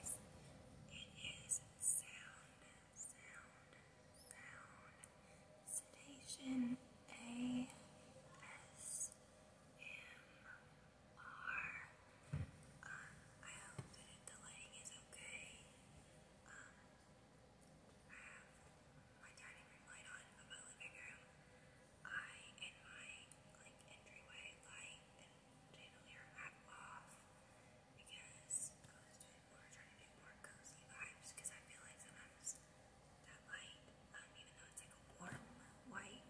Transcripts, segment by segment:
is, it is sound, sound, sound, sedation, A, S, M, R. hope that the lighting is okay. Um, I have my dining room light on, but my living room, I, in my, like, entryway light, chandelier I'm off because I was trying to do more cozy vibes because I feel like sometimes that light, even though it's like a warm white,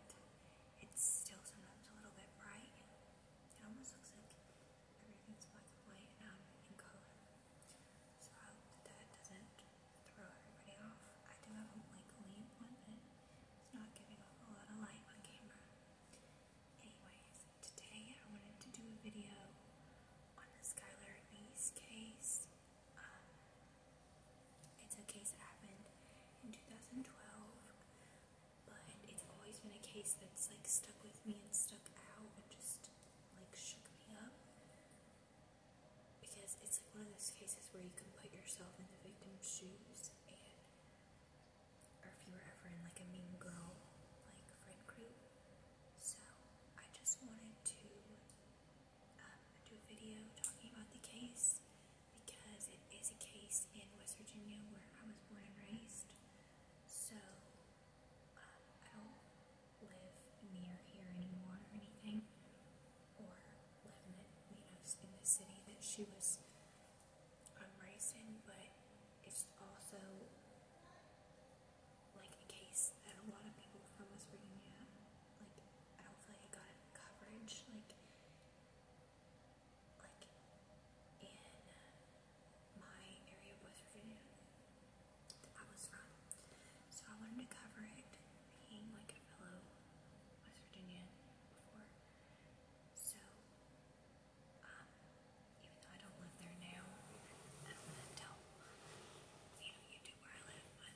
it's still sometimes a little bit bright. It almost looks like everything's black white in color. So I hope that that doesn't throw everybody off. I do have a blinky one, but it's not giving off a lot of light on camera. Anyways, today I wanted to do a video on the Skylar Lee's case. Um, it's a case that happened in 2012, but it's always been a case that's like stuck with me and stuck out and just like shook me up. Because it's like one of those cases where you can put yourself in the victim's shoes and or if you were ever in like a mean girl like friend group. So I just wanted to um, do a video talking about the case because it is a case in West Virginia where I was born and raised. So um, I don't live near here anymore or anything, or live in the city that she was I'm ricin, but it's also like a case that a lot of people from West Virginia, like I don't feel like I got coverage, like like in my area of West Virginia that I was from. So I wanted to cover it, being like a fellow West Virginian before. So um, even though I don't live there now, I don't tell, you know, YouTube where I live, but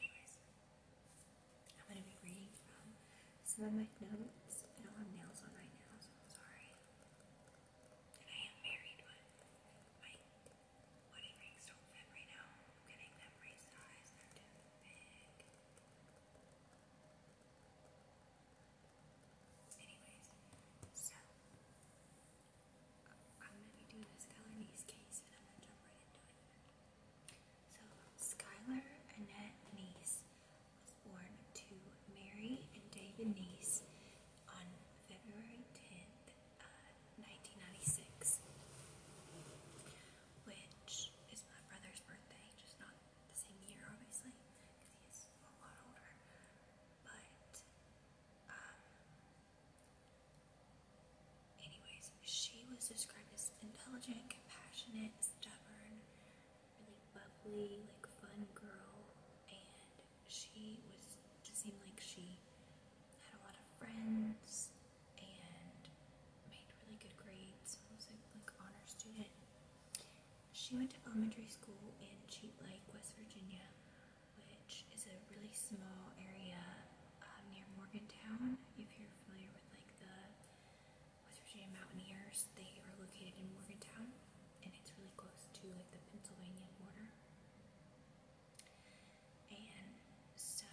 anyways, I'm going to be reading from some of my notes. I don't have nails on right now, so I'm sorry. I am married, but my wedding rings don't fit right now. I'm getting them resized, they're too big. Anyways, so i Annette Knees was born to Mary and David Knees on February 10th, 1996, uh, which is my brother's birthday, just not the same year, obviously, because he a lot older. But, um, anyways, she was described as intelligent, compassionate, stubborn, really bubbly, like fun girl, and she was just seemed like she had a lot of friends and made really good grades. Was like like honor student, she went to elementary school in Cheat Lake, West Virginia, which is a really small area uh, near Morgantown. If you're familiar with like the West Virginia Mountaineers, they are located in Morgantown, and it's really close to like the Pennsylvania border. And so,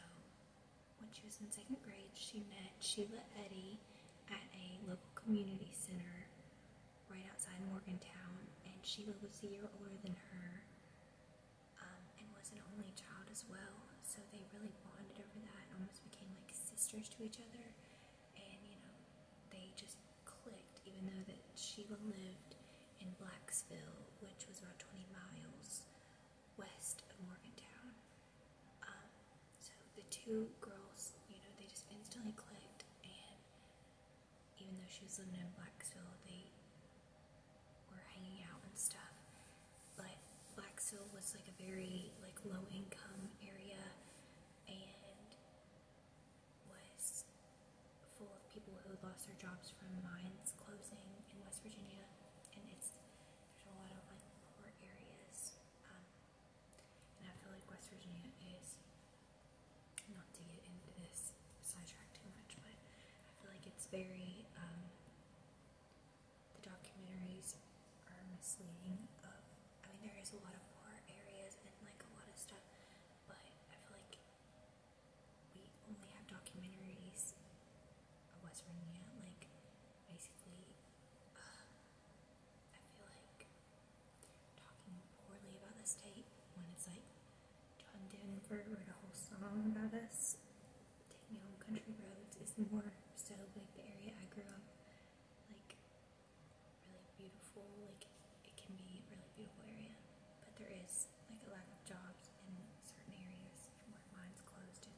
when she was in second grade, she met Sheila Eddy at a local community center right outside Morgantown, and Sheila was a year older than her um, and was an only child as well. So they really bonded over that and almost became like sisters to each other. And you know, they just clicked, even though that Sheila lived in Blacksville, which was about 20 miles west of Morgantown. Um, so the two girls, you know, they just instantly clicked, and even though she was living in Blacksville, they were hanging out and stuff. But Blacksville was like a very like low income area, and was full of people who lost their jobs from mines closing in West Virginia, and it's there's a lot of like poor areas. Um, and I feel like West Virginia is, not to get into this sidetrack too much, but I feel like it's very, um, the documentaries are misleading of, I mean there is a lot of war areas and like a lot of stuff, but I feel like we only have documentaries of West Virginia, like basically uh, I feel like talking poorly about this tape when it's like John Denver wrote a whole song about us taking home country roads is more so like the area I grew up like really beautiful like it can be a really beautiful area but there is like a lack of jobs in certain areas where mine's closed and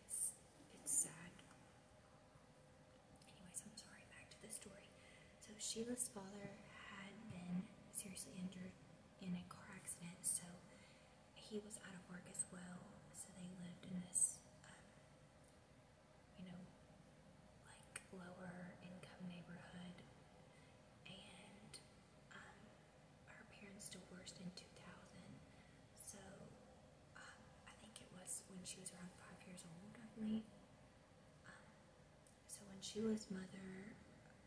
it's it's sad Anyways, I'm sorry, back to the story. So, Sheila's father had been seriously injured in a car accident, so he was out of work as well. So, they lived in this, um, you know, like lower income neighborhood. And um, her parents divorced in 2000, so um, I think it was when she was around five years old, I believe. Um, so when she was mother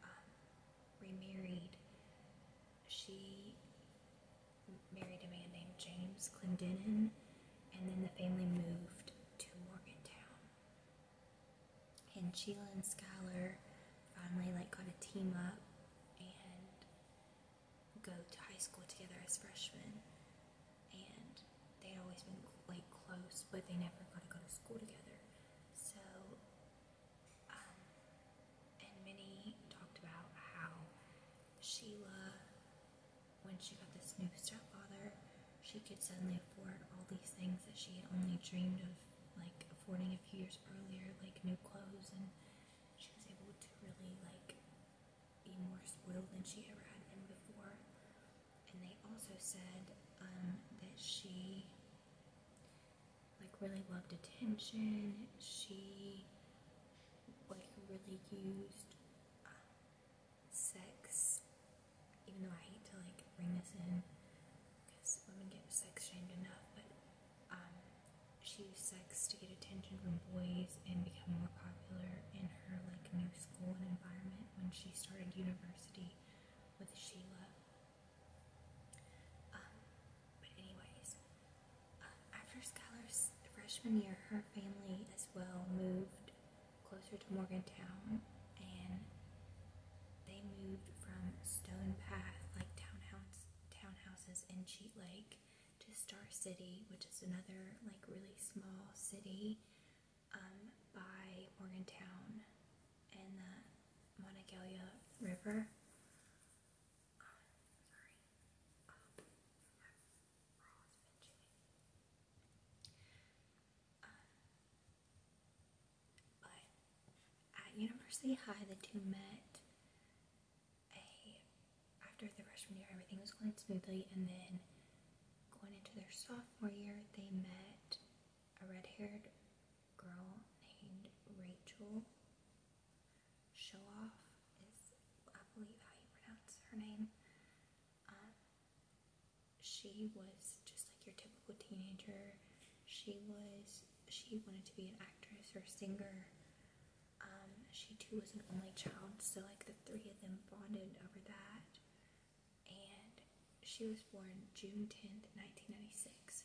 um, remarried, she married a man named James Clendenin, and then the family moved to Morgantown. And Sheila and Schuyler finally like got a team up and go to high school together as freshmen, and they'd always been like close, but they never got to go to school together. So, um, and Minnie talked about how Sheila, when she got this new stepfather, she could suddenly afford all these things that she had only dreamed of, like affording a few years earlier, like new clothes, and she was able to really like be worse willed than she ever had been before. And they also said um, that she like really loved attention. She like really used um, sex, even though I hate to like bring this in because women get sex shamed enough, but um, she used sex to get attention from boys and become more popular in her like new school and environment when she started university with Sheila. Um, but anyways, uh, after Skylar's freshman year, her family as well moved closer to Morgantown, and they moved from Stone Path, like townhouse townhouses in Cheat Lake, to Star City, which is another like really small city um, by Morgantown and the Monongalia River. Um, um, but at University High, the two met after the freshman year, everything was going smoothly, and then going into their sophomore year, they met a red haired girl named Rachel Showoff, is I believe how you pronounce her name. Um, she was just like your typical teenager. She was, she wanted to be an actress or singer. Um, she too was an only child, so like the three of them bonded over that. And she was born June 10th, 1996.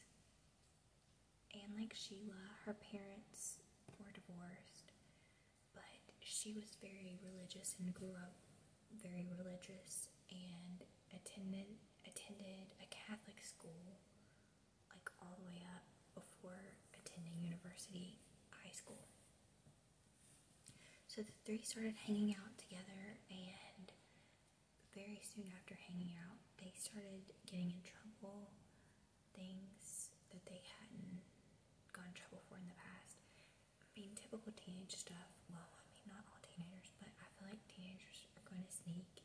And like Sheila, her parents were divorced, but she was very religious and grew up very religious and attended attended a Catholic school like all the way up before attending university, high school. So the three started hanging out together, and very soon after hanging out, they started getting in trouble, things that they hadn't gone in trouble for in the past. I mean, typical teenage stuff. Well, I mean, not all teenagers, but I feel like teenagers are going to sneak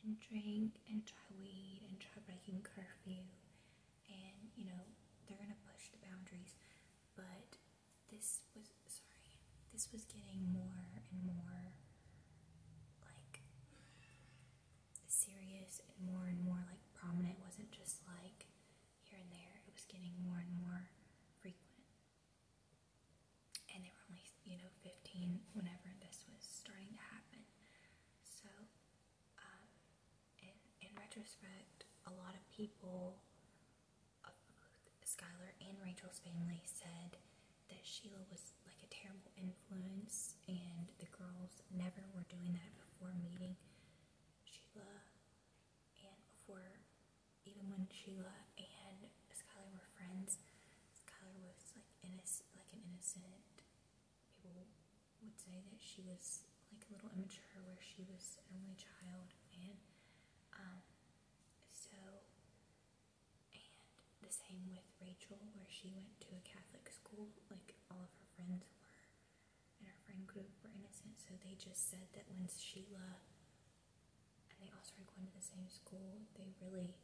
and drink and try weed and try breaking curfew and you know they're gonna push the boundaries but this was sorry this was getting more and more like serious and more and more like prominent wasn't just like here and there it was getting more and more frequent and they were only you know 15 whenever this was starting to happen so um, in retrospect, a lot of people, uh, and Rachel's family, said that Sheila was like a terrible influence, and the girls never were doing that before meeting Sheila, and before even when Sheila and Skylar were friends, Skylar was like innocent, like an innocent would say that she was like a little immature where she was an only child and um so and the same with Rachel where she went to a Catholic school like all of her friends were and her friend group were innocent so they just said that when Sheila and they all started going to the same school they really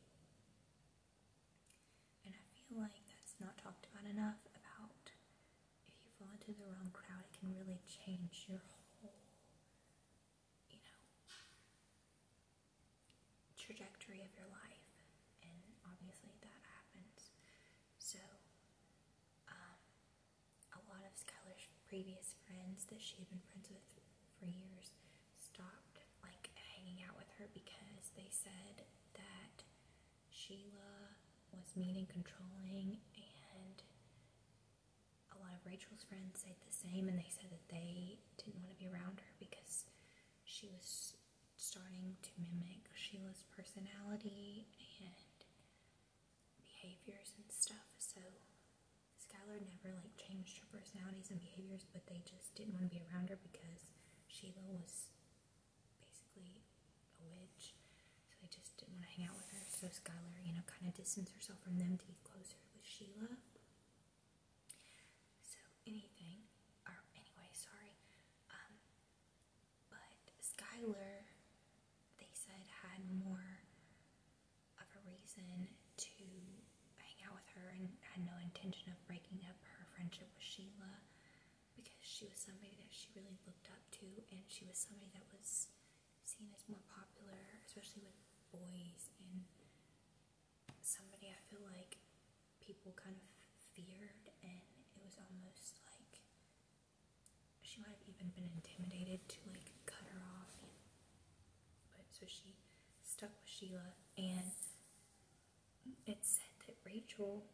and I feel like that's not talked about enough about if you fall into the wrong crowd, it can really change your whole, you know, trajectory of your life. And obviously that happens. So, um, a lot of Skylar's previous friends that she had been friends with for years stopped like hanging out with her because they said that Sheila was mean and controlling, and a lot of Rachel's friends said the same, and they said that they didn't want to be around her because she was starting to mimic Sheila's personality and behaviors and stuff. So Skylar never like changed her personalities and behaviors, but they just didn't want to be around her because Sheila was basically a witch, so I just didn't want to hang out with her. So Skylar, you know, kind of distanced herself from them to be closer with Sheila. So anything, or anyway, sorry. Um, but Skylar, they said, had more of a reason to hang out with her and had no intention of breaking up her friendship with Sheila because she was somebody that she really looked up to, and she was somebody that was seen as more popular, especially with boys, and somebody I feel like people kind of feared, and it was almost like she might have even been intimidated to like cut her off. But so she stuck with Sheila, and it said that Rachel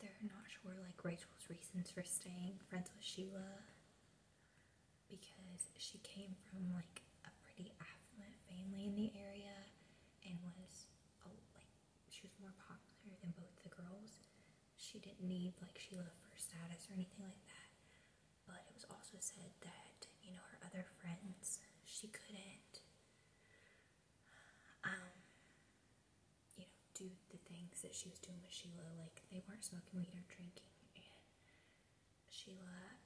they're not sure like Rachel's reasons for staying friends with Sheila because she came from like a pretty affluent family in the area and was oh like she was more popular than both the girls. She didn't need like Sheila for status or anything like that. But it was also said that, you know, her other friends, she couldn't, um, you know, do the things that she was doing with Sheila. Like, they weren't smoking weed or drinking. And Sheila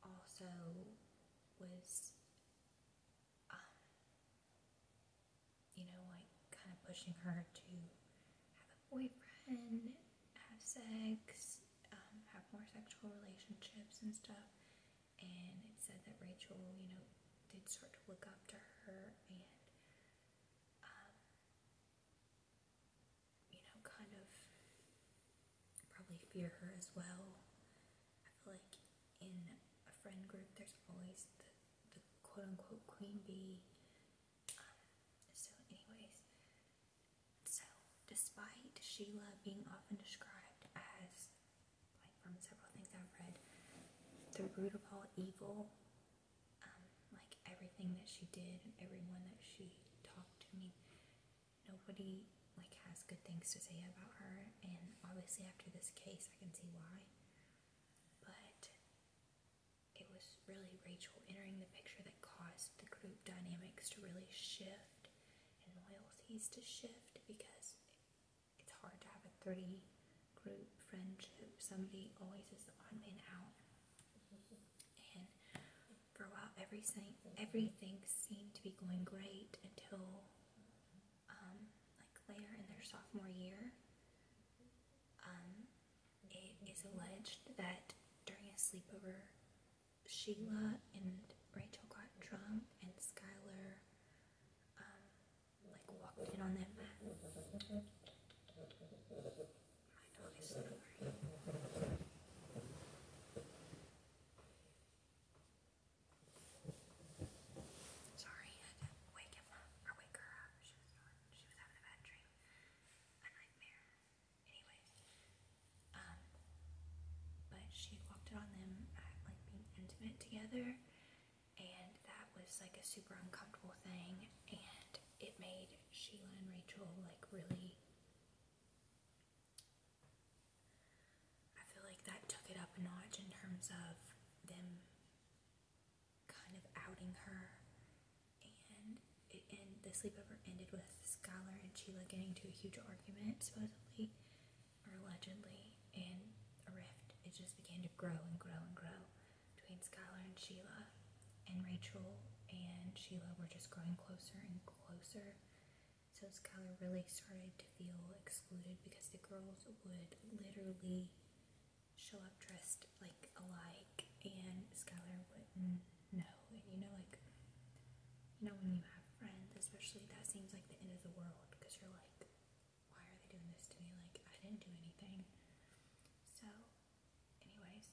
also was, um, you know, like, kind of pushing her to have a boyfriend have sex, um, have more sexual relationships and stuff. And it said that Rachel, you know, did start to look up to her and, um, you know, kind of probably fear her as well. I feel like in a friend group, there's always the, quote unquote queen bee. Um, so, anyways, so, despite Sheila being often described as, like from several things I've read, the root of all evil, um, like everything that she did and everyone that she talked to, me, nobody like has good things to say about her, and obviously after this case, I can see why. But it was really Rachel entering the picture that caused the group dynamics to really shift and loyalties to shift because it's hard to have a three group friendship. Somebody always is the odd out. And for a while, everything, everything seemed to be going great until um, like later in their sophomore year. Um, it is alleged that during a sleepover Sheila and Rachel got drunk and Skylar um, like walked in on that Sorry, I had to wake him up or wake her up. She was, she was having a bad dream. A nightmare. Anyway, um, but she walked it on them like being intimate together, and that was like a super uncomfortable thing, and it made Sheila and Rachel like really. I feel like that took it up a notch in terms of them kind of outing her, and and the sleepover ended with Skylar and Sheila getting to a huge argument, supposedly, or allegedly, and a rift. It just began to grow and grow and grow between Skylar and Sheila. And Rachel and Sheila were just growing closer and closer. So Skylar really started to feel excluded because the girls would literally show up dressed like alike, and Skylar would and You know, like, you know, when you have friends, especially, that seems like the end of the world because you're like, why are they doing this to me? Like, I didn't do anything. So, anyways,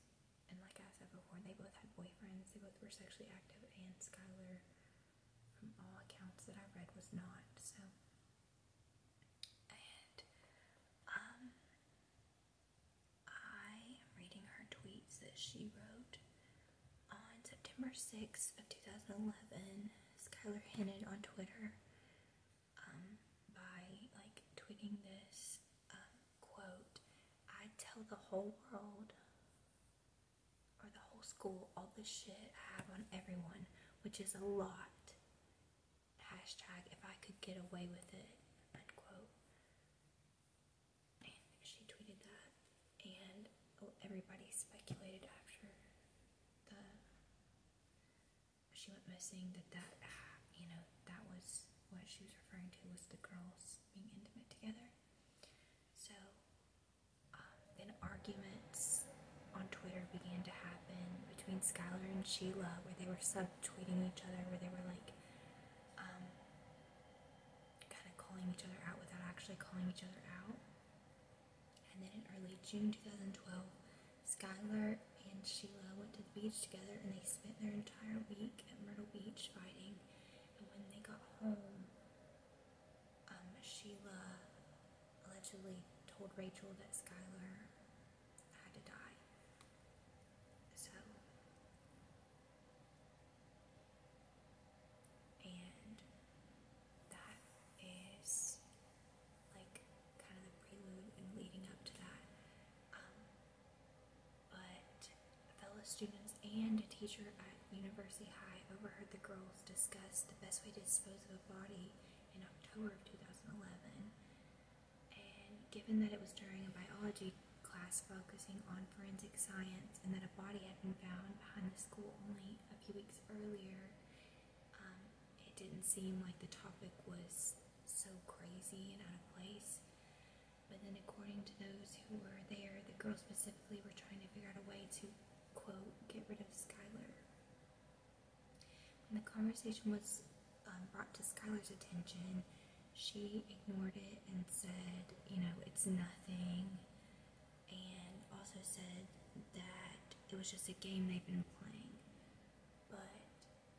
and like I said before, they both had boyfriends, they both were sexually active, and Skylar, from all accounts that I read, was not. So, and, um, I am reading her tweets that she wrote on September 6th of 2011. Skylar hinted on Twitter um, by like tweeting this um, quote, I tell the whole world or the whole school all this shit I have on everyone, which is a lot. Hashtag if I could get away with it, unquote. And she tweeted that, and oh, everybody speculated after the she went missing that that you know that was what she was referring to was the girls being intimate together. So um, then arguments on Twitter began to happen between Skylar and Sheila, where they were subtweeting each other, where they were like. Um, kind of calling each other out without actually calling each other out. And then in early June 2012, Skylar and Sheila went to the beach together and they spent their entire week at Myrtle Beach fighting. And when they got home, um, Sheila allegedly told Rachel that Skylar had to die. So, and that is like kind of the prelude and leading up to that. Um, but fellow students and a teacher at University High overheard the girls discuss the best way to dispose of a body in October of 2011. And given that it was during a biology class focusing on forensic science and that a body had been found behind the school only a few weeks earlier, um, it didn't seem like the topic was so crazy and out of place. But then, according to those who were there, the girls specifically were trying to figure out a way to, quote, get rid of Skylar. When the conversation was um, brought to Skylar's attention, she ignored it and said, you know, it's nothing, and also said that it was just a game they've been playing. But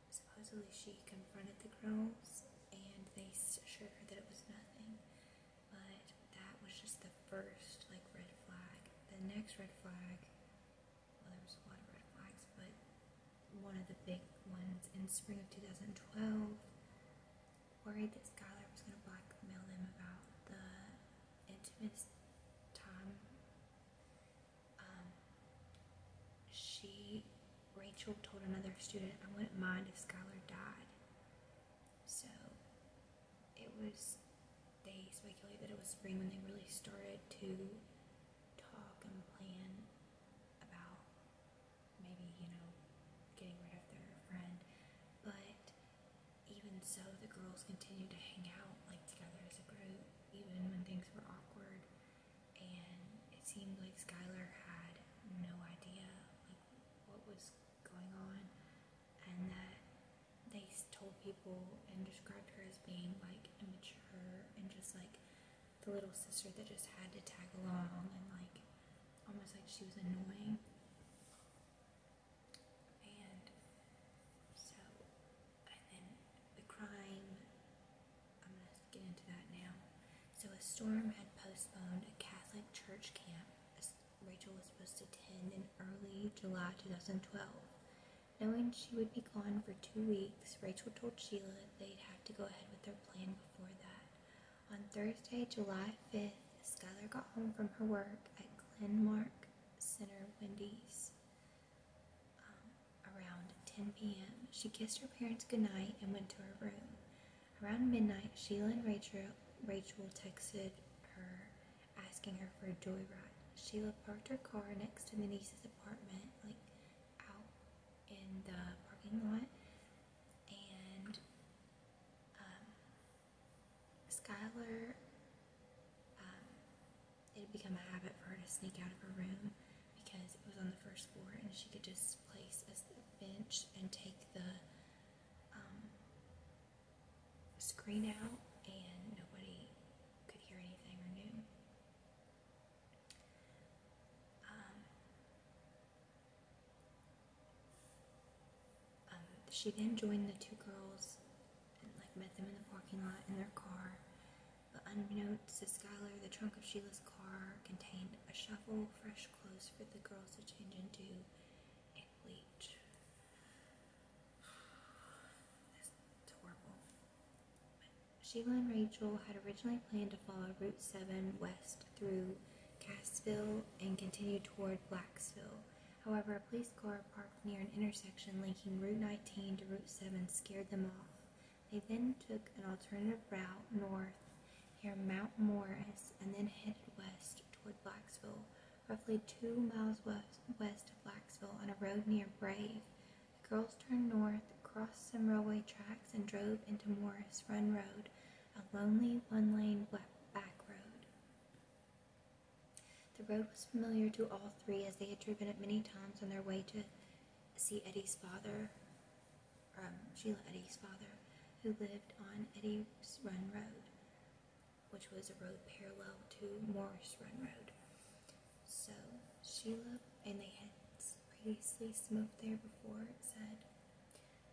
supposedly she confronted the girls and they assured her that it was nothing. But that was just the first, like, red flag. The next red flag, well, there was a lot of red flags, but one of the big ones in spring of 2012 worried that Skylar was going to blackmail them about the intimate time. Um, she, Rachel, told another student, I wouldn't mind if Skylar died. So it was, they speculated that it was spring when they really started to talk and plan about maybe, you know, getting rid of their friend. But even so, the girls continued to hang out like together as a group, even when things were awkward. And it seemed like Skylar had no idea what was going on, and that they told people and described her as being like immature and just like the little sister that just had to tag along and like almost like she was annoying. And so, and then the crime, I'm going to get into that now. So, a storm had postponed a Catholic church camp Rachel was supposed to attend in early July 2012. Knowing she would be gone for two weeks, Rachel told Sheila they'd have to go ahead with their plan before that. On Thursday, July 5th, Skylar got home from her work at Glenmark Center Wendy's um, around 10 p.m. She kissed her parents goodnight and went to her room. Around midnight, Sheila and Rachel, Rachel texted her asking her for a joyride. Sheila parked her car next to Denise's apartment, like out in the parking lot, and um, Skyler, um, it had become a habit for her to sneak out of her room because it was on the first floor and she could just place a bench and take the um, screen out and nobody could hear anything or knew. Um, she then joined the two girls and met them in the parking lot in their car. But unbeknownst to Skylar, the trunk of Sheila's car contained a shovel, fresh clothes for the girls to change into, and bleach. Sheila and Rachel had originally planned to follow Route 7 west through Cassville and continued toward Blacksville. However, a police car parked near an intersection linking Route 19 to Route 7 scared them off. They then took an alternative route north near Mount Morris and then headed west toward Blacksville. Roughly two miles west, west of Blacksville on a road near Brave, the girls turned north, crossed some railway tracks, and drove into Morris Run Road, a lonely one lane back road. The road was familiar to all three as they had driven it many times on their way to see Eddie's father, um, Sheila Eddie's father, who lived on Eddie's Run Road, which was a road parallel to Morris Run Road. So Sheila and they had previously smoked there before said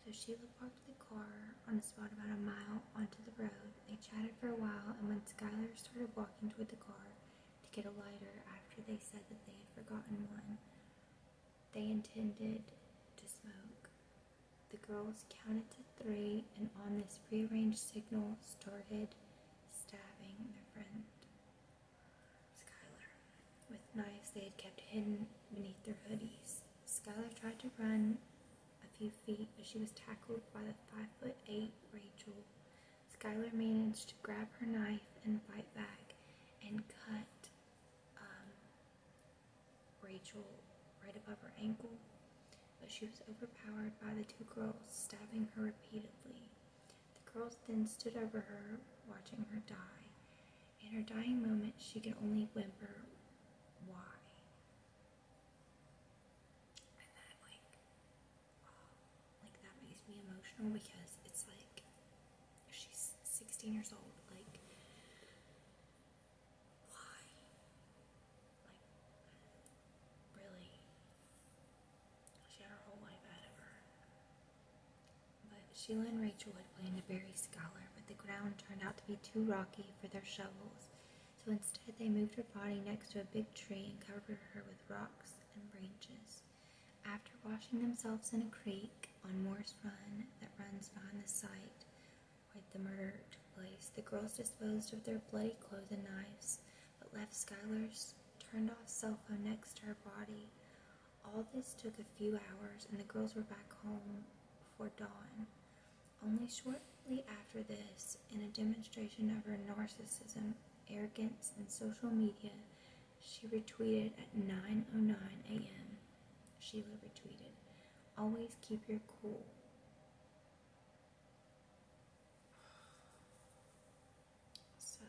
so Sheila parked the car on a spot about a mile onto the road. They chatted for a while, and when Skylar started walking toward the car to get a lighter after they said that they had forgotten one, they intended to smoke. The girls counted to three, and on this prearranged signal started stabbing their friend, Skylar with knives they had kept hidden beneath their hoodies. Skylar tried to run a few feet, but she was tackled by the five foot eight Rachel. Skylar managed to grab her knife and fight back and cut um, Rachel right above her ankle, but she was overpowered by the two girls, stabbing her repeatedly. The girls then stood over her, watching her die. In her dying moment, she could only whimper, Why? And that, like, uh, like, that makes me emotional because it's like she's 16 years old, like, why? Like, really? She had her whole life ahead of her. But Sheila and Rachel had planned to bury Scholar, but the ground turned out to be too rocky for their shovels, so instead they moved her body next to a big tree and covered her with rocks and branches. After washing themselves in a creek on Morse Run that runs behind the site where the murder took place, the girls disposed of their bloody clothes and knives, but left Skylar's turned off cell phone next to her body. All this took a few hours, and the girls were back home before dawn. Only shortly after this, in a demonstration of her narcissism, arrogance, and social media, she retweeted at 9:09 a.m. Sheila retweeted, "Always keep your cool." So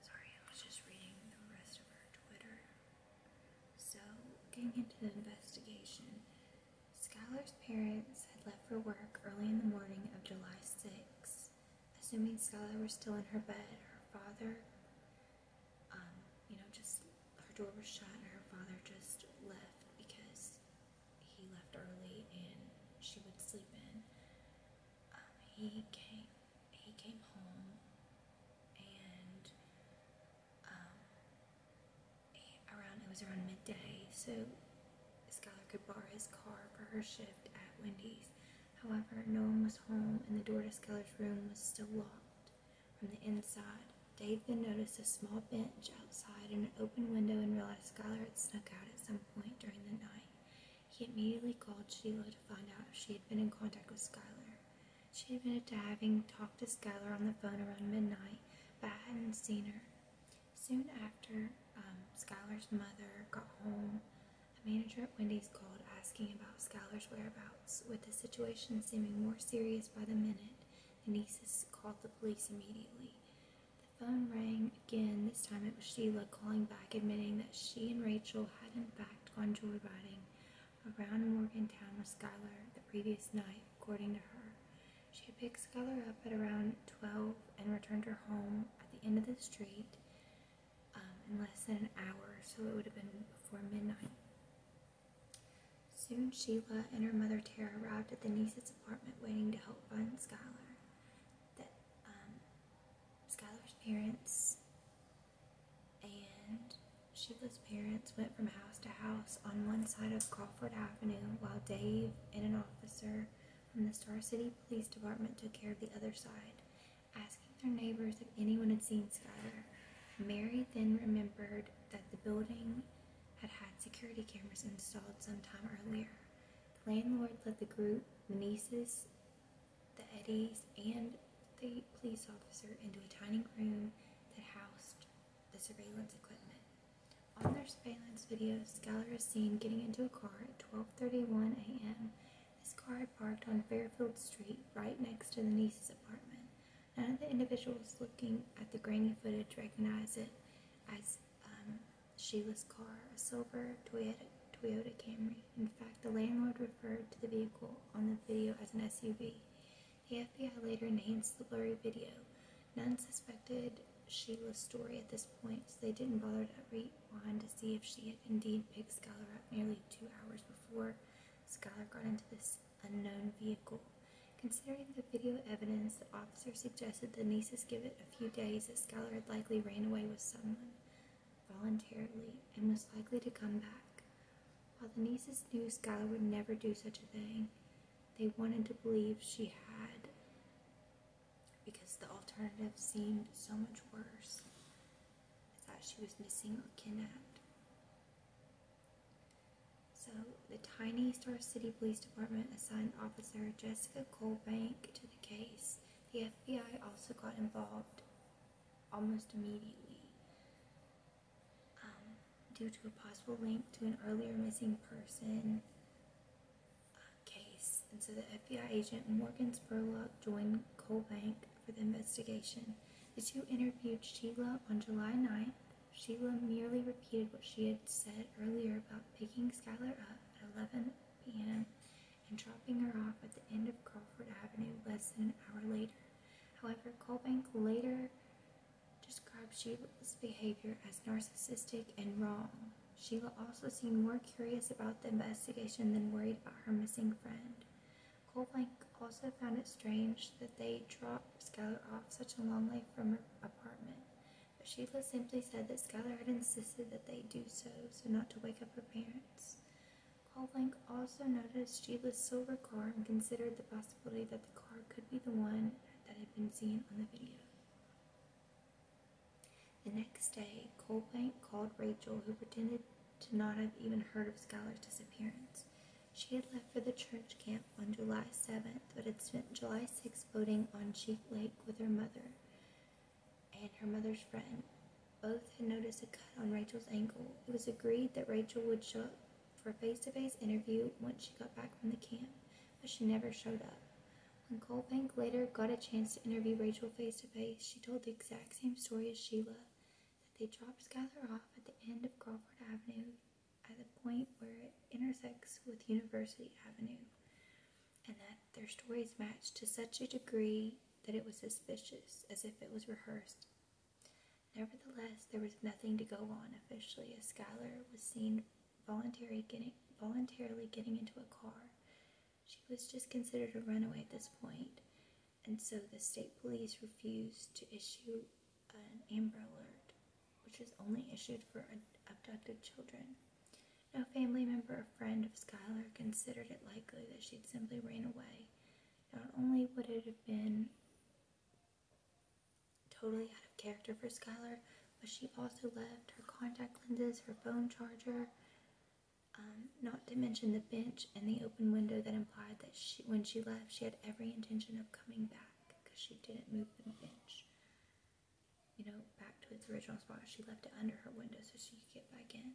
sorry, I was just reading the rest of her Twitter. So, getting into the investigation, Skylar's parents had left for work early in the morning of July 6. Assuming Skylar was still in her bed, her father um, you know, just her door was shut and her father just left because he left early and she would sleep in. Um, he came, he came home and um, he, around, it was around midday, so Skylar could borrow his car for her shift at Wendy's. However, no one was home, and the door to Skylar's room was still locked. From the inside, Dave then noticed a small bench outside and an open window and realized Skylar had snuck out at some point during the night. He immediately called Sheila to find out if she had been in contact with Skylar. She had been having talked to Skylar on the phone around midnight, but hadn't seen her. Soon after, um, Skylar's mother got home a manager at Wendy's called asking about Skylar's whereabouts. With the situation seeming more serious by the minute, the nieces called the police immediately. The phone rang again. This time it was Sheila calling back, admitting that she and Rachel had in fact gone joyriding around Morgantown with Skylar the previous night, according to her. She had picked Skylar up at around 12 and returned her home at the end of the street. Um, in less than an hour, so it would have been before midnight. Soon Sheila and her mother Tara arrived at the niece's apartment waiting to help find Skylar. That um, Skylar's parents and Sheila's parents went from house to house on one side of Crawford Avenue while Dave and an officer from the Star City Police Department took care of the other side asking their neighbors if anyone had seen Skylar. Mary then remembered that the building had had security cameras installed sometime earlier. The landlord led the group, the nieces, the Eddies, and the police officer into a tiny room that housed the surveillance equipment. On their surveillance video, Skylar is seen getting into a car at 12:31 a.m. This car parked on Fairfield Street, right next to the niece's apartment. None of the individuals looking at the grainy footage recognized it as um, Sheila's car, a silver Toyota, Toyota Camry. In fact, the landlord referred to the vehicle on the video as an SUV. The FBI later enhanced the blurry video. None suspected Sheila's story at this point, so they didn't bother to rewind to see if she had indeed picked Schuyler up nearly two hours before before Skylar got into this unknown vehicle. Considering the video evidence, the officer suggested the nieces give it a few days that Skylar had likely ran away with someone voluntarily and was likely to come back. While the nieces knew Skylar would never do such a thing, they wanted to believe she had because the alternative seemed so much worse. I thought she was missing or kidnapped. So the tiny Star City Police Department assigned Officer Jessica Colbank to the case. The FBI also got involved almost immediately um, due to a possible link to an earlier missing person uh, case. And so the FBI agent Morgan Spurlock joined Colbank for the investigation. The two interviewed Sheila on July 9th. Sheila merely repeated what she had said earlier about picking Skylar up at 11 p.m. and dropping her off at the end of Crawford Avenue less than an hour later. However, Colbank later described Sheila's behavior as narcissistic and wrong. Sheila also seemed more curious about the investigation than worried about her missing friend. Goldblank also found it strange that they dropped Skylar off such a long way from her apartment, but Sheila simply said that Skylar had insisted that they do so, so not to wake up her parents. Goldblank also noticed Sheila's silver car and considered the possibility that the car could be the one that had been seen on the video. The next day, Coldbank called Rachel, who pretended did not have even heard of Scholar's disappearance. She had left for the church camp on July 7th, but had spent July 6th boating on Sheep Lake with her mother and her mother's friend. Both had noticed a cut on Rachel's ankle. It was agreed that Rachel would show up for a face-to-face interview once she got back from the camp, but she never showed up. When Colbank later got a chance to interview Rachel face to -face, she told the exact same story as Sheila that the drops gather off at the end of Crawford Avenue at the point where it intersects with University Avenue, and that their stories matched to such a degree that it was suspicious, as if it was rehearsed. Nevertheless, there was nothing to go on officially, as Schuyler was seen voluntarily getting, voluntarily getting into a car. She was just considered a runaway at this point, and so the state police refused to issue an Amber Alert, which is only issued for abducted children. No family member or friend of Skylar considered it likely that she'd simply ran away. Not only would it have been totally out of character for Skylar, but she also left her contact lenses, her phone charger, um, not to mention the bench and the open window that implied that she, when she left, she had every intention of coming back because she didn't move the bench, you know, back to its original spot. She left it under her window so she could get back in.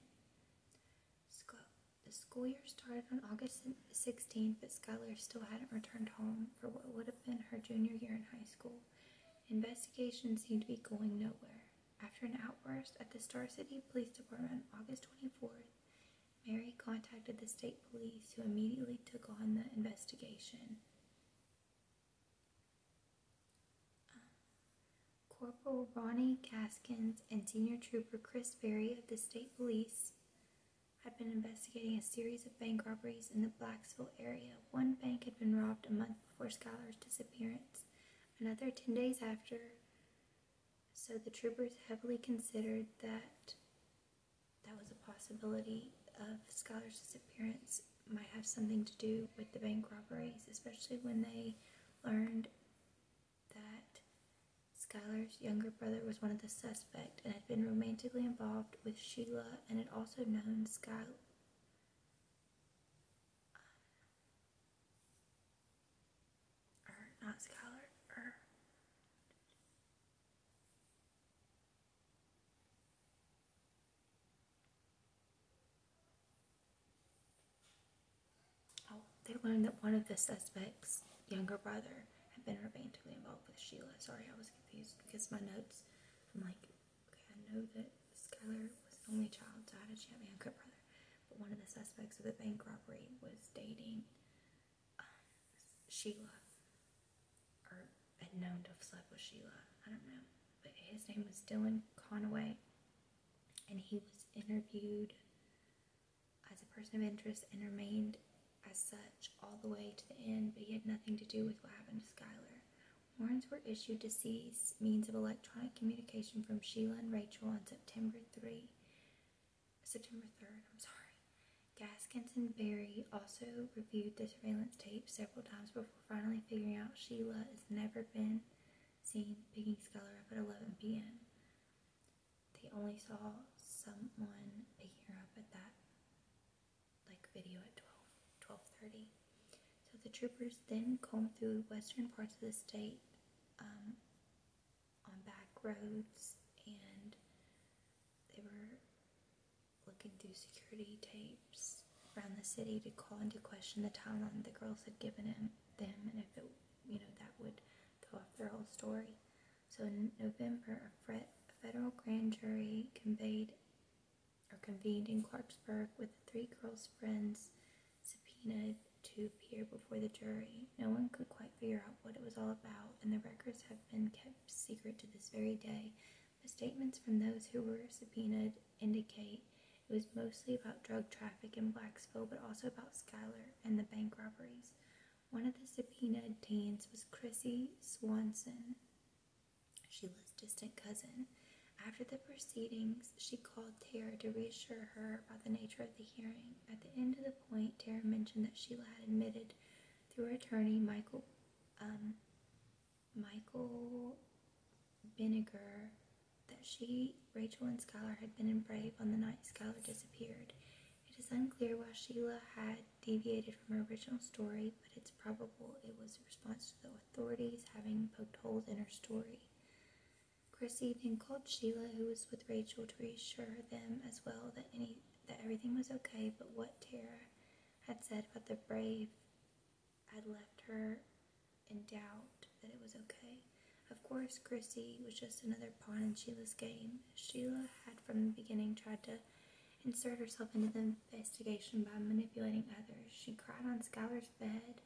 the school year started on August 16, but Skylar still hadn't returned home for what would have been her junior year in high school. Investigations seemed to be going nowhere. After an outburst at the Star City Police Department on August 24th, Mary contacted the state police, who immediately took on the investigation. Corporal Ronnie Gaskins and Senior Trooper Chris Berry of the state police had been investigating a series of bank robberies in the Blacksburg area. One bank had been robbed a month before Skylar's disappearance. Another 10 days after so the troopers heavily considered that that was a possibility of Scholar's disappearance might have something to do with the bank robberies, especially when they learned that Skylar's younger brother was one of the suspects and had been romantically involved with Sheila and had also known Skylar. Oh, they learned that one of the suspects, younger brother, had been romantically involved with Sheila. Sorry, I was confused because my notes, I'm like, okay, I know that Skylar was the only child, so how did she have a younger brother? one of the suspects of the bank robbery was dating um, Sheila, or had known to have slept with Sheila. I don't know. But his name was Dylan Conaway, and he was interviewed as a person of interest and remained as such all the way to the end, but he had nothing to do with what happened to Skylar. Warrants were issued to seize means of electronic communication from Sheila and Rachel on September September 3, September 3rd, I'm sorry. Gaskins and Berry also reviewed the surveillance tape several times before finally figuring out Sheila has never been seen picking Skylar up at 11 p.m. They only saw someone picking her up at that like video at 12, 12.30. So the troopers then combed through western parts of the state um, on back roads and they were looking through security tapes around the city to call into question the timeline the girls had given him, them and if it, you know, that would throw off their whole story. So in November, a, federal grand jury convened in Clarksburg with the three girls' friends subpoenaed to appear before the jury. No one could quite figure out what it was all about, and the records have been kept secret to this very day. The statements from those who were subpoenaed indicate it was mostly about drug traffic in Blacksburg, but also about Schuyler and the bank robberies. One of the subpoenaed teens was Chrissy Swanson. She was distant cousin. After the proceedings, she called Tara to reassure her about the nature of the hearing. At the end of the point, Tara mentioned that Sheila had admitted through her attorney, Michael, um, Michael Vinegar, that she, Rachel, and Skylar had been in Brave on the night Skylar disappeared. It is unclear why Sheila had deviated from her original story, but it's probable it was a response to the authorities having poked holes in her story. Chrissy then called Sheila, who was with Rachel, to reassure them as well that any that everything was okay, but what Tara had said about the brave had left her in doubt that it was okay. Of course, Chrissy was just another pawn in Sheila's game. Sheila had from the beginning tried to insert herself into the investigation by manipulating others. She cried on Skylar's bed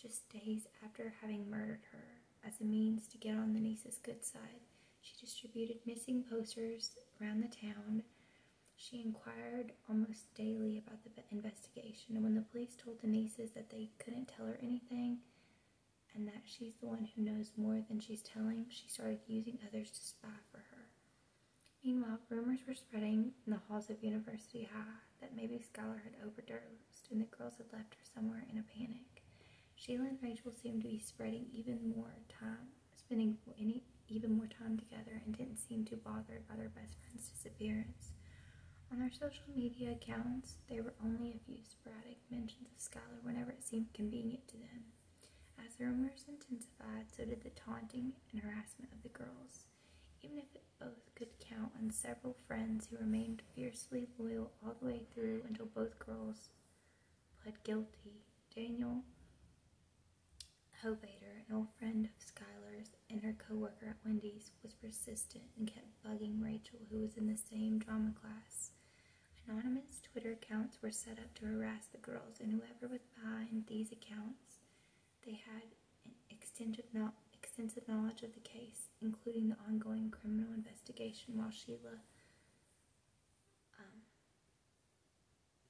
just days after having murdered her, as a means to get on the niece's good side, she distributed missing posters around the town. She inquired almost daily about the investigation, and when the police told the nieces that they couldn't tell her anything and that she's the one who knows more than she's telling, she started using others to spy for her. Meanwhile, rumors were spreading in the halls of University High that maybe Skylar had overdosed and the girls had left her somewhere in a panic. Sheila and Rachel seemed to be spreading even more time, spending even more time together, and didn't seem to bother by their best friend's disappearance. On their social media accounts, there were only a few sporadic mentions of Skylar whenever it seemed convenient to them. As the rumors intensified, so did the taunting and harassment of the girls. Even if both could count on several friends who remained fiercely loyal all the way through until both girls pled guilty. Daniel Hovater, an old friend of Skylar's and her co-worker at Wendy's, was persistent and kept bugging Rachel, who was in the same drama class. Anonymous Twitter accounts were set up to harass the girls, and whoever was behind these accounts, they had extensive knowledge of the case, including the ongoing criminal investigation, while Sheila, um,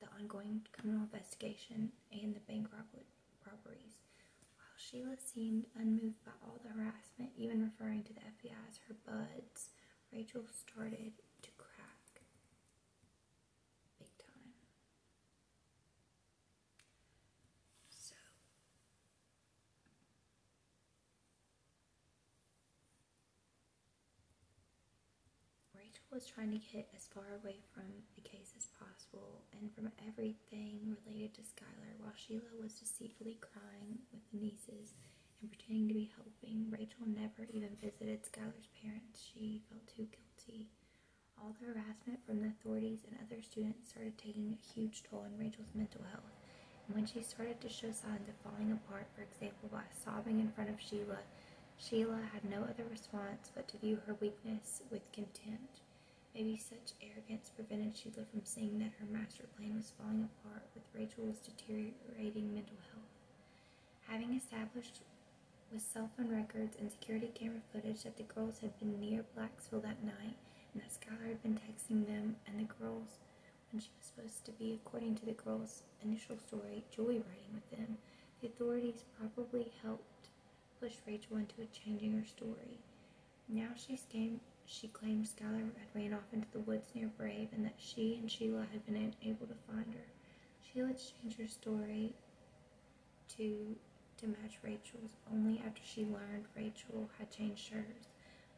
the ongoing criminal investigation and the bank robberies. While Sheila seemed unmoved by all the harassment, even referring to the FBI as her buds, Rachel started to crack big time. Rachel was trying to get as far away from the case as possible and from everything related to Skylar while Sheila was deceitfully crying with the nieces and pretending to be helping. Rachel never even visited Skylar's parents. She felt too guilty. All the harassment from the authorities and other students started taking a huge toll on Rachel's mental health. And when she started to show signs of falling apart, for example, by sobbing in front of Sheila, Sheila had no other response but to view her weakness with contempt. Maybe such arrogance prevented Sheila from seeing that her master plan was falling apart with Rachel's deteriorating mental health. Having established with cell phone records and security camera footage that the girls had been near Blacksville that night, and that Skylar had been texting them and the girls when she was supposed to be, according to the girls' initial story, joyriding with them. The authorities probably helped push Rachel into changing her story. Now she's came, she claimed Skylar had ran off into the woods near Brave and that she and Sheila had been unable to find her. Sheila changed her story to to match Rachel's only after she learned Rachel had changed hers.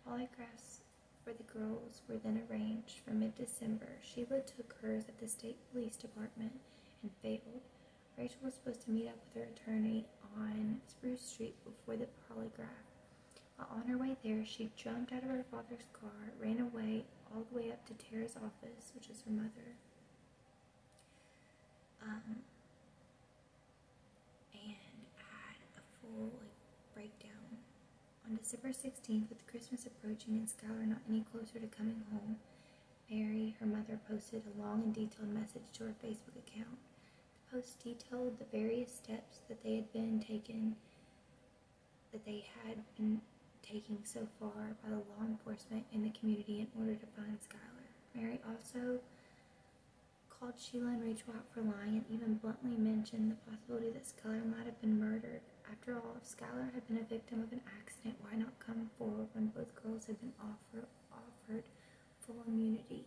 Polygraphs for the girls were then arranged for mid December. Sheila took hers at the state police department and failed. Rachel was supposed to meet up with her attorney on Spruce Street before the polygraph. While on her way there, she jumped out of her father's car, ran away all the way up to Tara's office, which is her mother. Um, and I a full breakdown. On December 16th, with Christmas approaching and Skylar not any closer to coming home, Mary, her mother, posted a long and detailed message to her Facebook account. The post detailed the various steps that they had been taken, that they had been taking so far by the law enforcement and the community in order to find Skylar. Mary also called Sheila and Rachel out for lying and even bluntly mentioned the possibility that Schuyler might have been murdered. After all, if Schuyler had been a victim of an accident, why not come forward when both girls had been offer offered full immunity?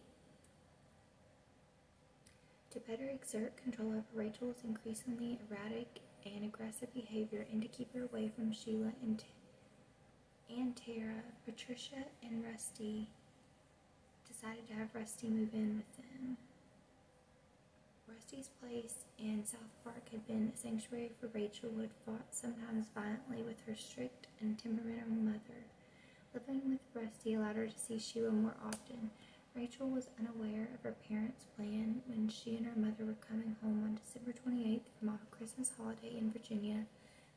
To better exert control over Rachel's increasingly erratic and aggressive behavior and to keep her away from Sheila and and Tara, Patricia, and Rusty decided to have Rusty move in with them. Rusty's place in South Park had been a sanctuary for Rachel, who had fought sometimes violently with her strict and temperamental mother. Living with Rusty allowed her to see Sheila more often. Rachel was unaware of her parents' plan when she and her mother were coming home on December 28th from a Christmas holiday in Virginia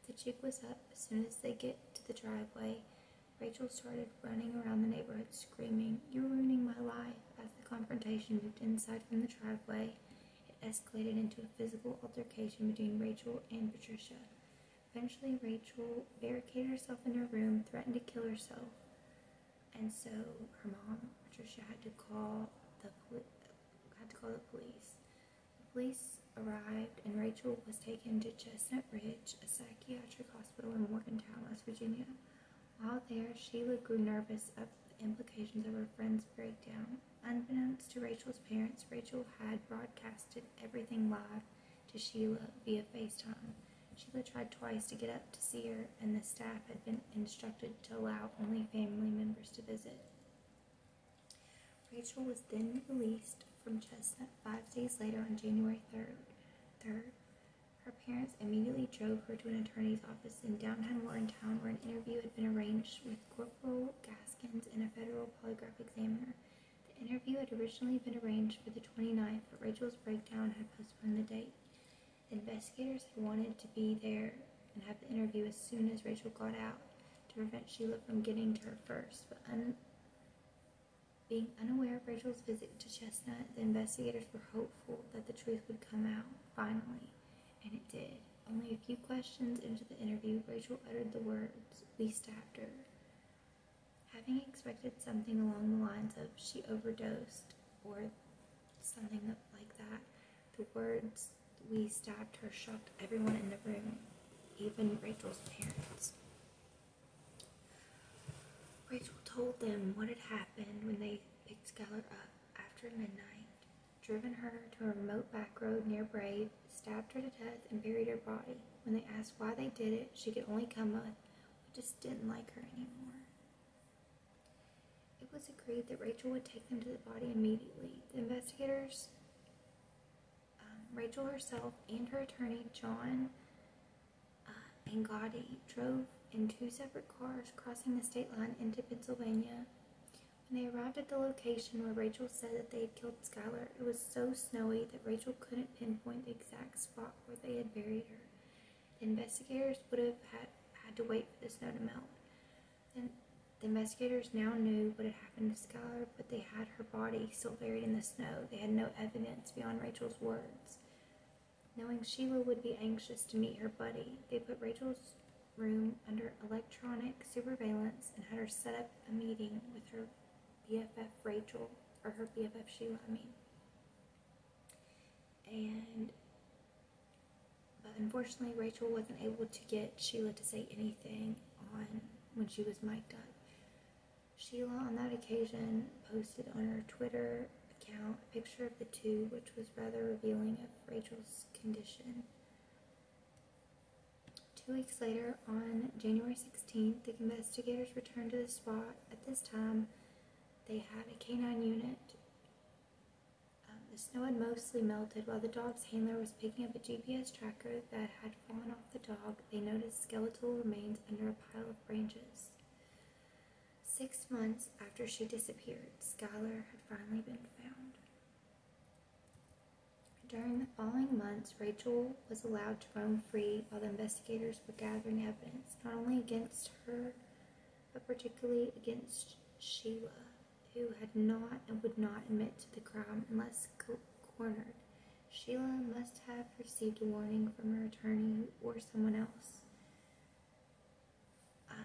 the jig was up. As soon as they get to the driveway, Rachel started running around the neighborhood screaming, You're ruining my life! As the confrontation moved inside from the driveway, it escalated into a physical altercation between Rachel and Patricia. Eventually, Rachel barricaded herself in her room, threatened to kill herself, and so her mom, Patricia, had to call the had to call the police. The police arrived and Rachel was taken to Chestnut Ridge, a psychiatric hospital in Morgantown, West Virginia. While there, Sheila grew nervous of the implications of her friend's breakdown. Unbeknownst to Rachel's parents, Rachel had broadcasted everything live to Sheila via FaceTime. Sheila tried twice to get up to see her, and the staff had been instructed to allow only family members to visit. Rachel was then released from Chestnut five days later on January 3rd. Her parents immediately drove her to an attorney's office in downtown Warrentown where an interview had been arranged with Corporal Gaskins and a federal polygraph examiner. The interview had originally been arranged for the 29th, but Rachel's breakdown had postponed the date. investigators had wanted to be there and have the interview as soon as Rachel got out, to prevent Sheila from getting to her first, but being unaware of Rachel's visit to Chestnut, the investigators were hopeful that the truth would come out finally, and it did. Only a few questions into the interview, Rachel uttered the words, We stabbed her. Having expected something along the lines of she overdosed or something like that, the words we stabbed her shocked everyone in the room, even Rachel's parents. Rachel told them what had happened when they picked Skylar up after midnight, driven her to a remote back road near Brave, stabbed her to death, and buried her body. When they asked why they did it, she could only come up, we just didn't like her anymore. It was agreed that Rachel would take them to the body immediately. The investigators um, Rachel herself and her attorney, John uh, Angotti, drove in two separate cars crossing the state line into Pennsylvania. When they arrived at the location where Rachel said that they had killed Skylar, it was so snowy that Rachel couldn't pinpoint the exact spot where they had buried her. investigators would have had to wait for the snow to melt. And the investigators now knew what had happened to Skylar, but they had her body still buried in the snow. They had no evidence beyond Rachel's words. Knowing Sheila would be anxious to meet her buddy, they put Rachel's room under electronic surveillance and had her set up a meeting with her BFF Rachel, or her BFF Sheila, I mean. And, but unfortunately, Rachel wasn't able to get Sheila to say anything on when she was mic'd up. Sheila, on that occasion, posted on her Twitter account a picture of the two, which was rather revealing of Rachel's condition. Two weeks later, on January 16th, the investigators returned to the spot. At this time, they had a canine unit. Um, the snow had mostly melted while the dog's handler was picking up a GPS tracker that had had fallen off the dog, they noticed skeletal remains under a pile of branches. Six months after she disappeared, Schuyler had finally been found. During the following months, Rachel was allowed to roam free while the investigators were gathering evidence, not only against her, but particularly against Sheila who had not and would not admit to the crime unless cornered. Sheila must have received a warning from her attorney or someone else. Um,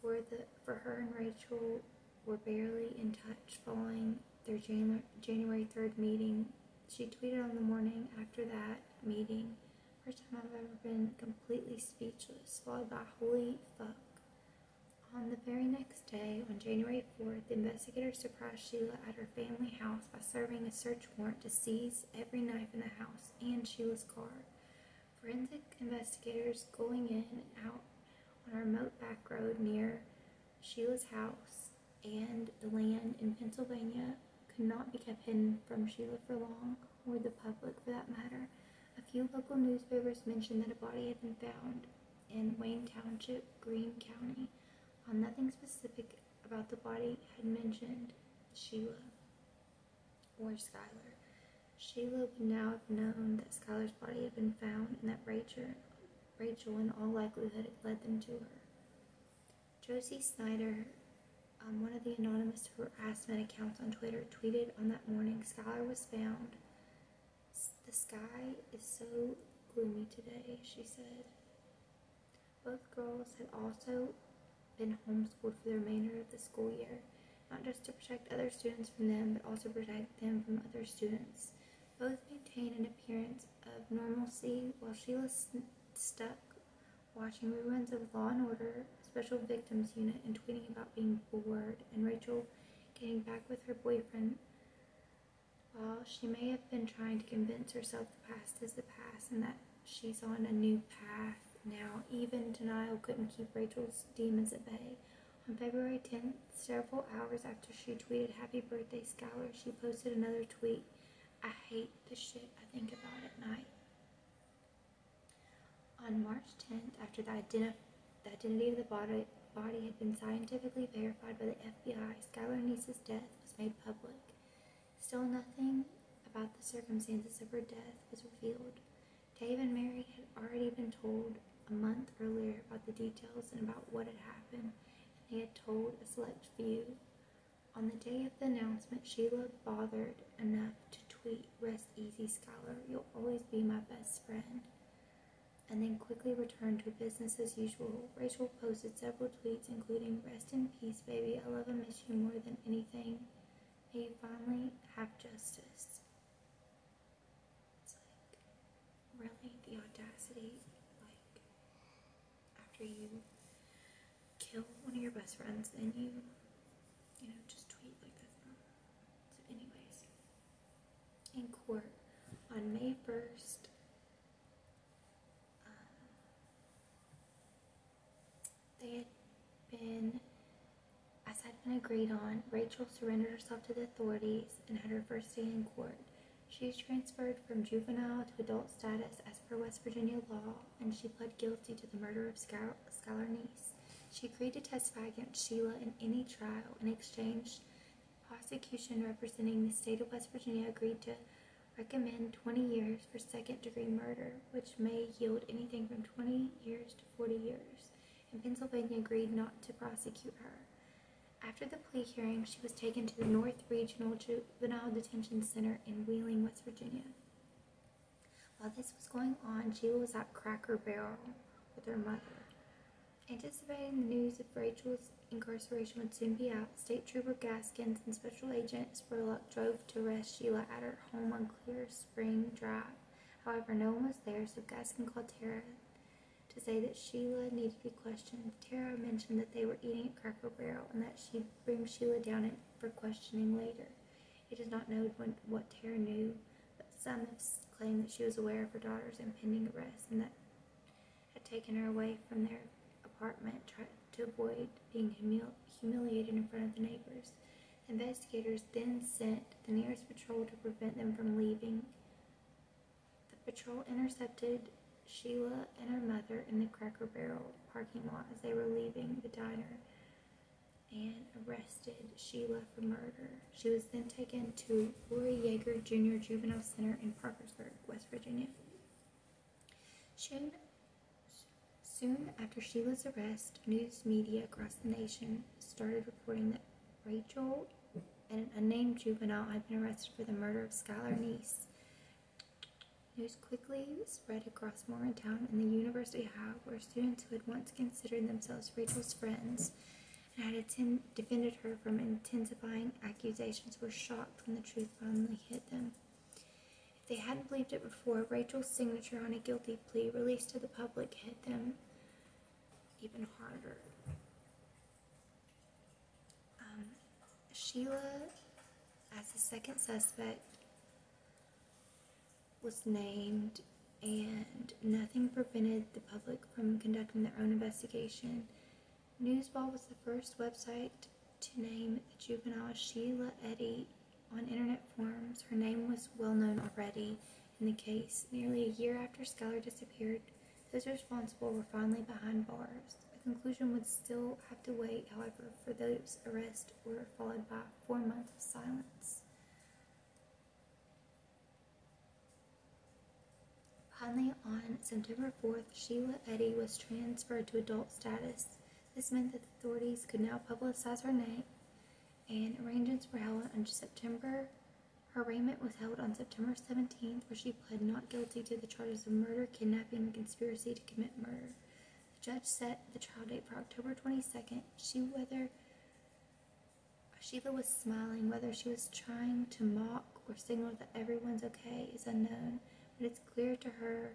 for the for her and Rachel were barely in touch following their Janu January 3rd meeting. She tweeted on the morning after that meeting, first time I've ever been completely speechless, followed by holy fuck. On the very next day, on January 4th, investigators surprised Sheila at her family house by serving a search warrant to seize every knife in the house and Sheila's car. Forensic investigators going in and out on a remote back road near Sheila's house and the land in Pennsylvania could not be kept hidden from Sheila for long, or the public for that matter. A few local newspapers mentioned that a body had been found, in Wayne Township, Greene County. While um, nothing specific about the body had mentioned Sheila or Skylar, Sheila would now have known that Skylar's body had been found and that Rachel, Rachel in all likelihood, had led them to her. Josie Snyder, um, one of the anonymous harassment accounts on Twitter, tweeted on that morning Skylar was found the sky is so gloomy today, she said. Both girls had also been homeschooled for the remainder of the school year, not just to protect other students from them, but also protect them from other students. Both maintained an appearance of normalcy while Sheila stuck watching reruns of Law and Order, Special Victims Unit, and tweeting about being bored, and Rachel getting back with her boyfriend well, she may have been trying to convince herself the past is the past and that she's on a new path now, even denial couldn't keep Rachel's demons at bay. On February 10th, several hours after she tweeted Happy Birthday Scholar," she posted another tweet. I hate the shit I think about at night. On March 10th, after the identification the identity of the body, body had been scientifically verified by the FBI. Skylar Niece's death was made public. Still, nothing about the circumstances of her death was revealed. Dave and Mary had already been told a month earlier about the details and about what had happened, they had told a select few. On the day of the announcement, Sheila bothered enough to tweet, Rest easy, Skylar. You'll always be my best friend and then quickly returned to business as usual. Rachel posted several tweets, including Rest in peace, baby. I love and miss you more than anything. May you finally have justice. It's like, really? The audacity? Like, after you kill one of your best friends, and you, you know, just tweet like that. anyways, in court on May 1st. Um, they had been, as had been agreed on, Rachel surrendered herself to the authorities and had her first day in court. She was transferred from juvenile to adult status as per West Virginia law, and she pled guilty to the murder of Scholar, Scholar Niece. She agreed to testify against Sheila in any trial in exchange prosecution representing the state of West Virginia agreed to recommend 20 years for second degree murder, which may yield anything from 20 years to 40 years, and Pennsylvania agreed not to prosecute her. After the plea hearing, she was taken to the North Regional Juvenile Detention Center in Wheeling, West Virginia. While this was going on, Sheila was at Cracker Barrel with her mother. Anticipating the news of Rachel's incarceration would soon be out, State Trooper Gaskins and Special Agent Spurlock drove to arrest Sheila at her home on Clear Spring Drive. However, no one was there, so Gaskins called Tara to say that Sheila needed to be questioned. Tara mentioned that they were eating at Cracker Barrel and that she bring Sheila down for questioning later. He does not know what Tara knew but some have claimed that she was aware of her daughter's impending arrest and that had taken her away from their apartment to avoid being humiliated in front of the neighbors. Investigators then sent the nearest patrol to prevent them from leaving. The patrol intercepted Sheila and her mother in the Cracker Barrel parking lot as they were leaving the diner and arrested Sheila the murder. She was then taken to Roy Yeager Jr. Juvenile Center in Parkersburg, West Virginia. Soon, after Sheila's arrest, news media across the nation started reporting that Rachel and an unnamed juvenile had been arrested for the murder of Skylar Neese. News quickly spread across Morgantown and the University hall, where students who had once considered themselves Rachel's friends and had defended her from intensifying accusations were shocked when the truth finally hit them. If they hadn't believed it before, Rachel's signature on a guilty plea released to the public hit them even harder. Um, Sheila, as the second suspect, was named and nothing prevented the public from conducting their own investigation. Newsball was the first website to name the juvenile Sheila Eddy on internet forums. Her name was well known already in the case. Nearly a year after Skylar disappeared, those responsible were finally behind bars. The conclusion would still have to wait, however, for those arrests were followed by four months of silence. Finally, on September 4th, Sheila Eddy was transferred to adult status. This meant that the authorities could now publicize her name, and arrangements were held on September. Her arraignment was held on September 17th, where she pled not guilty to the charges of murder, kidnapping, and conspiracy to commit murder. The judge set the trial date for October 22nd. She whether Sheila was smiling. Whether she was trying to mock or signal that everyone's okay is unknown, but it's clear to her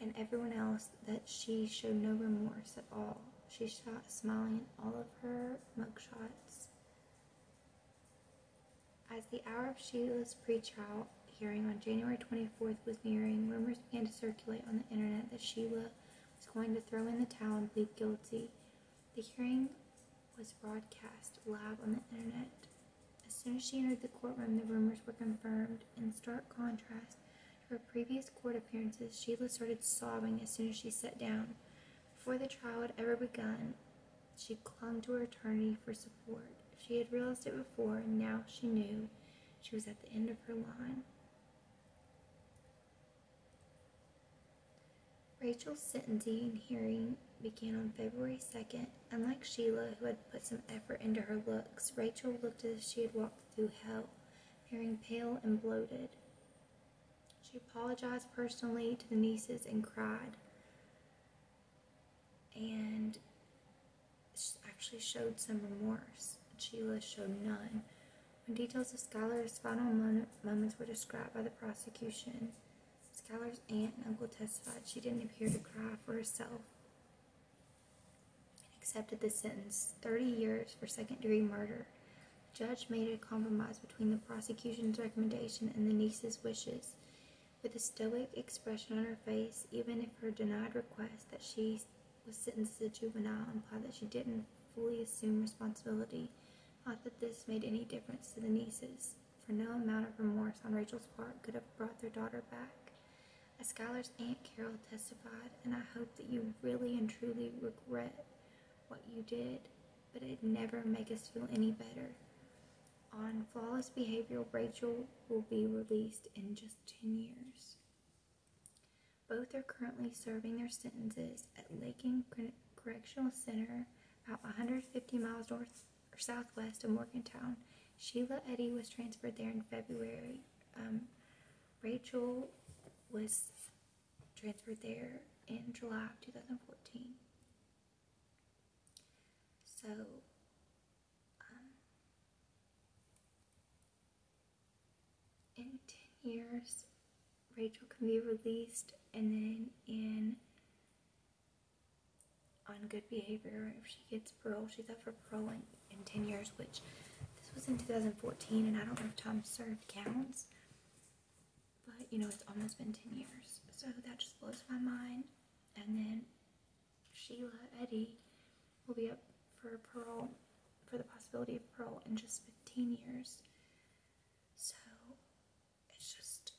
and everyone else that she showed no remorse at all. She shot smiling in all of her mugshots. As the hour of Sheila's pretrial hearing on January 24th was nearing, rumors began to circulate on the internet that Sheila was going to throw in the towel and plead guilty. The hearing was broadcast live on the internet. As soon as she entered the courtroom, the rumors were confirmed. In stark contrast to her previous court appearances, Sheila started sobbing as soon as she sat down. Before the trial had ever begun, she clung to her attorney for support. She had realized it before, and now she knew she was at the end of her line. Rachel's sentencing hearing began on February 2nd. Unlike Sheila, who had put some effort into her looks, Rachel looked as if she had walked through hell, appearing pale and bloated. She apologized personally to the nieces and cried, and actually showed some remorse. Sheila showed none. When details of Schuyler's final moments were described by the prosecution, Schuyler's aunt and uncle testified she didn't appear to cry for herself and accepted the sentence 30 years for second degree murder. The judge made a compromise between the prosecution's recommendation and the niece's wishes. With a stoic expression on her face, even if her denied request that she was sentenced as a juvenile implied that she didn't fully assume responsibility not that this made any difference to the nieces, for no amount of remorse on Rachel's part could have brought their daughter back. As Skylar's Aunt Carol testified, and I hope that you really and truly regret what you did, but it never make us feel any better. On flawless behavior, Rachel will be released in just 10 years. Both are currently serving their sentences at Credit. Correctional Center, about 150 miles north or southwest of Morgantown. Sheila Eddy was transferred there in February. Um, Rachel was transferred there in July of 2014. So, um, in 10 years, Rachel can be released, and then in on good behavior, if she gets parole, she's up for parole in, 10 years, which this was in 2014, and I don't know if time served counts, but you know, it's almost been 10 years, so that just blows my mind. And then Sheila Eddie will be up for parole for the possibility of parole in just 15 years. So it's just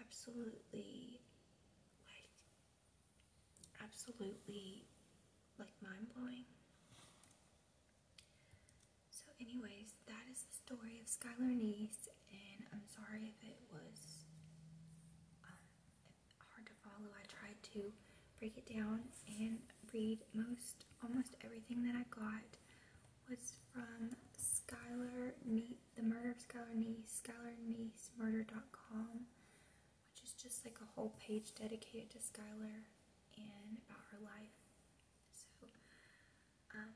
absolutely like absolutely like mind blowing. So, anyways, that is the story of Skylar Niece, and I'm sorry if it was um, hard to follow. I tried to break it down and read most almost everything that I got was from Skylar Nee, the murder of Skylar Nee, SkylarNeeseMurder.com, which is just like a whole page dedicated to Skylar and about her life. So, um,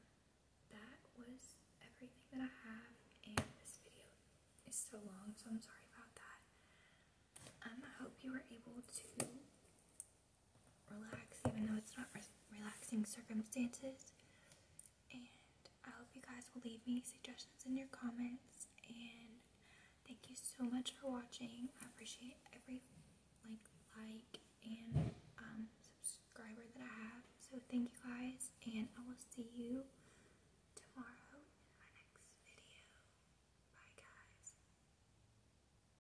that was everything that I have, and this video is so long, so I'm sorry about that. Um, I hope you were able to relax, even though it's not relaxing circumstances. And I hope you guys will leave me suggestions in your comments. And thank you so much for watching. I appreciate every like, like, and um, subscriber that I have. So thank you guys, and I will see you tomorrow in my next video. Bye, guys.